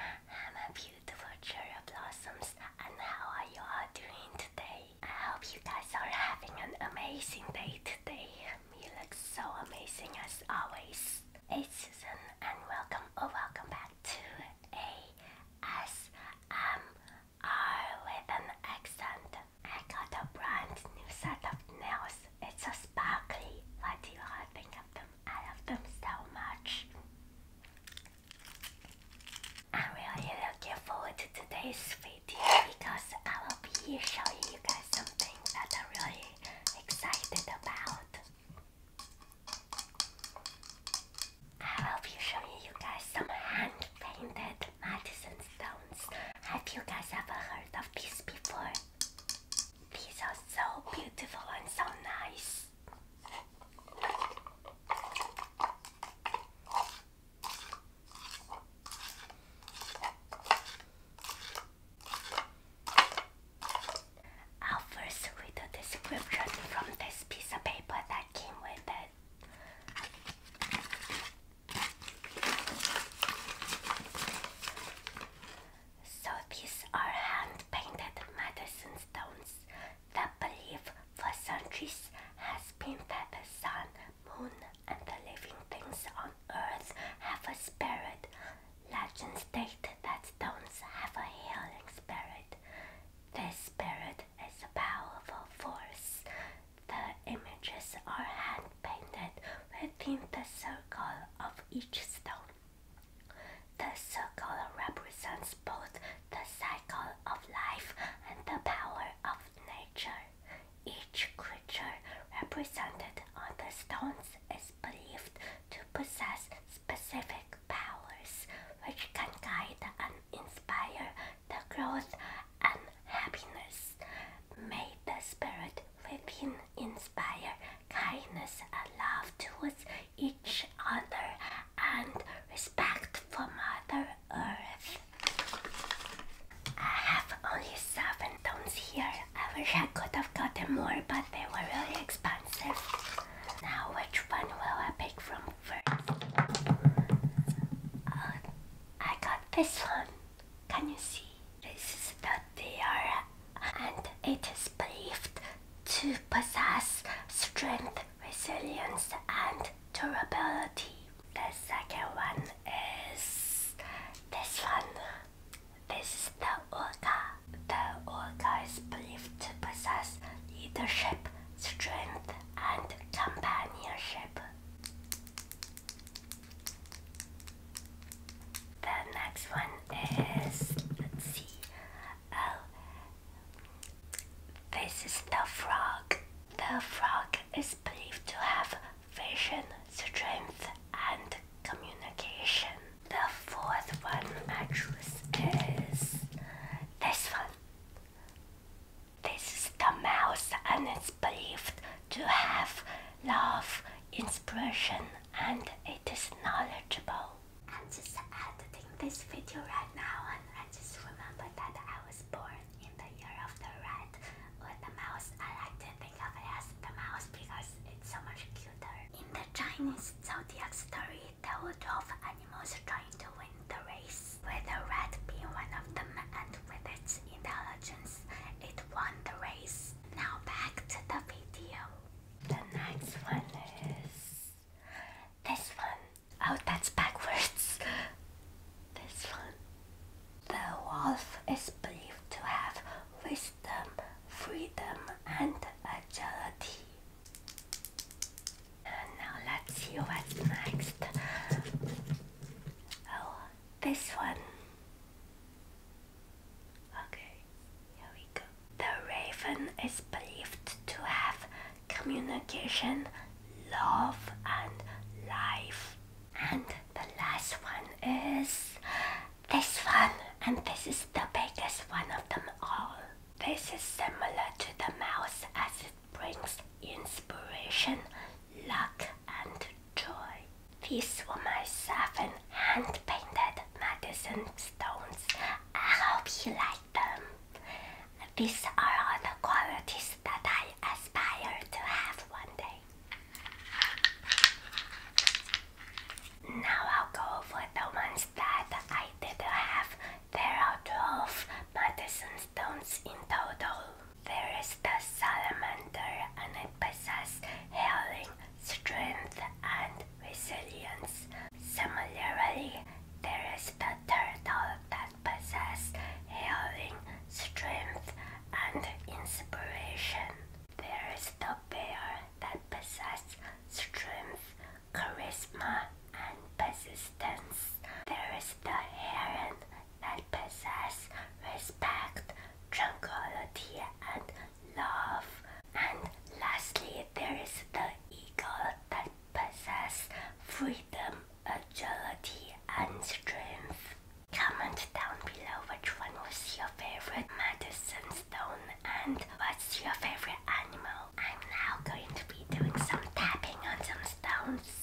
Hello beautiful cherry blossoms and how are you all doing today? I hope you guys are having an amazing day today. You look so amazing as always. It's Susan and welcome or oh, welcome back to ASMR with an accent. I got a brand new set of nails. It's so sparkly. What do you all think of them? I love them so much. I'm really looking forward to today's video because I will be showing you guys something that I'm really excited about. I will be showing you guys some hand painted Madison stones. Have you guys ever heard of this before? These are so beautiful and so nice. I'll first read the description from this piece of paper that came with it. So these are hand-painted medicine stones that believe for centuries has been that the sun, moon and the living things on earth have a spirit. Legends state that stones have a healing spirit. This spirit is a powerful force. The images are hand painted within the circle of each stone. The circle represents both the cycle of life and the power of nature. Each creature represented on the stones is believed to possess specific powers which can guide and inspire the growth and happiness. May the spirit within inspire kindness and love towards each other and respect for Mother Earth. I have only seven tones here. I wish I could have gotten more, but they were really expensive. Now, which one will I pick from first? Uh, I got this one. Can you see? This is the deer, and it is believed to possess strength, resilience, and durability. The second one is this one. This is the orca. The orca is believed to possess leadership, strength, and companionship. The next one is, let's see, oh, this is the frog. The frog is believed to have vision, strength, and communication. The fourth one I is this one. This is the mouse and it's believed to have love, inspiration and it is knowledgeable. I'm just editing this video right now and I just remember that I was born in the year of the rat with the mouse. I like to think of it as the mouse because it's so much cuter. In the Chinese zodiac story, the were 12 animals trying to win the race with the red being one of them and with its intelligence, it won the race. Now back to the video. The next one is this one. Oh, that's backwards. This one. The wolf is believed to have wisdom, freedom, and agility now let's see what's next. Oh, this one. Okay, here we go. The raven is believed to have communication, love, and life. And the last one is this one, and this is the biggest one of them all. This is similar to the mouse as it brings inspiration, luck, and joy. These were my seven hand painted medicine stones. I hope you like them. These are all the qualities that I aspire to have one day. Now I'll go for the ones that I didn't have there are 12 Madison stones in total. There is the salamander and it possesses healing, strength and resilience. Similarly, there is the turtle that possesses healing, strength and inspiration. There is the bear that possesses strength, charisma, and persistence. There is the heron that possess respect, tranquility, and love. And lastly, there is the eagle that possess freedom, agility, and strength. Comment down below which one was your favorite medicine stone and what's your favorite animal. I'm now going to be doing some tapping on some stones.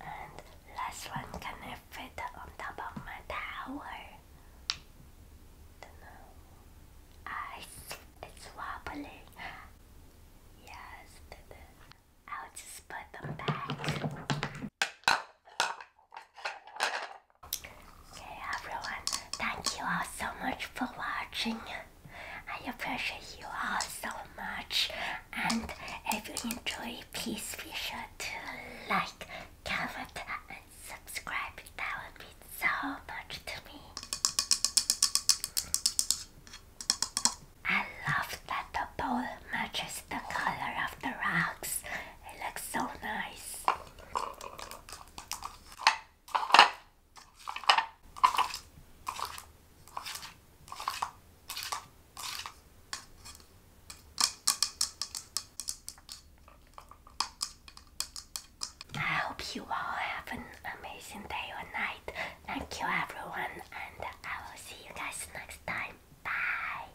And last one, can I fit on top of my tower? Don't it's, wobbling. Yes, I'll just put them back. Okay, everyone, thank you all so much for watching. I appreciate you all so much. And if you enjoy, please be sure to like, comment, and subscribe. That would be so much to me. I love that the bowl matches the color of the rocks. It looks so nice. I hope you all have an amazing day or night. Thank you everyone and I will see you guys next time. Bye!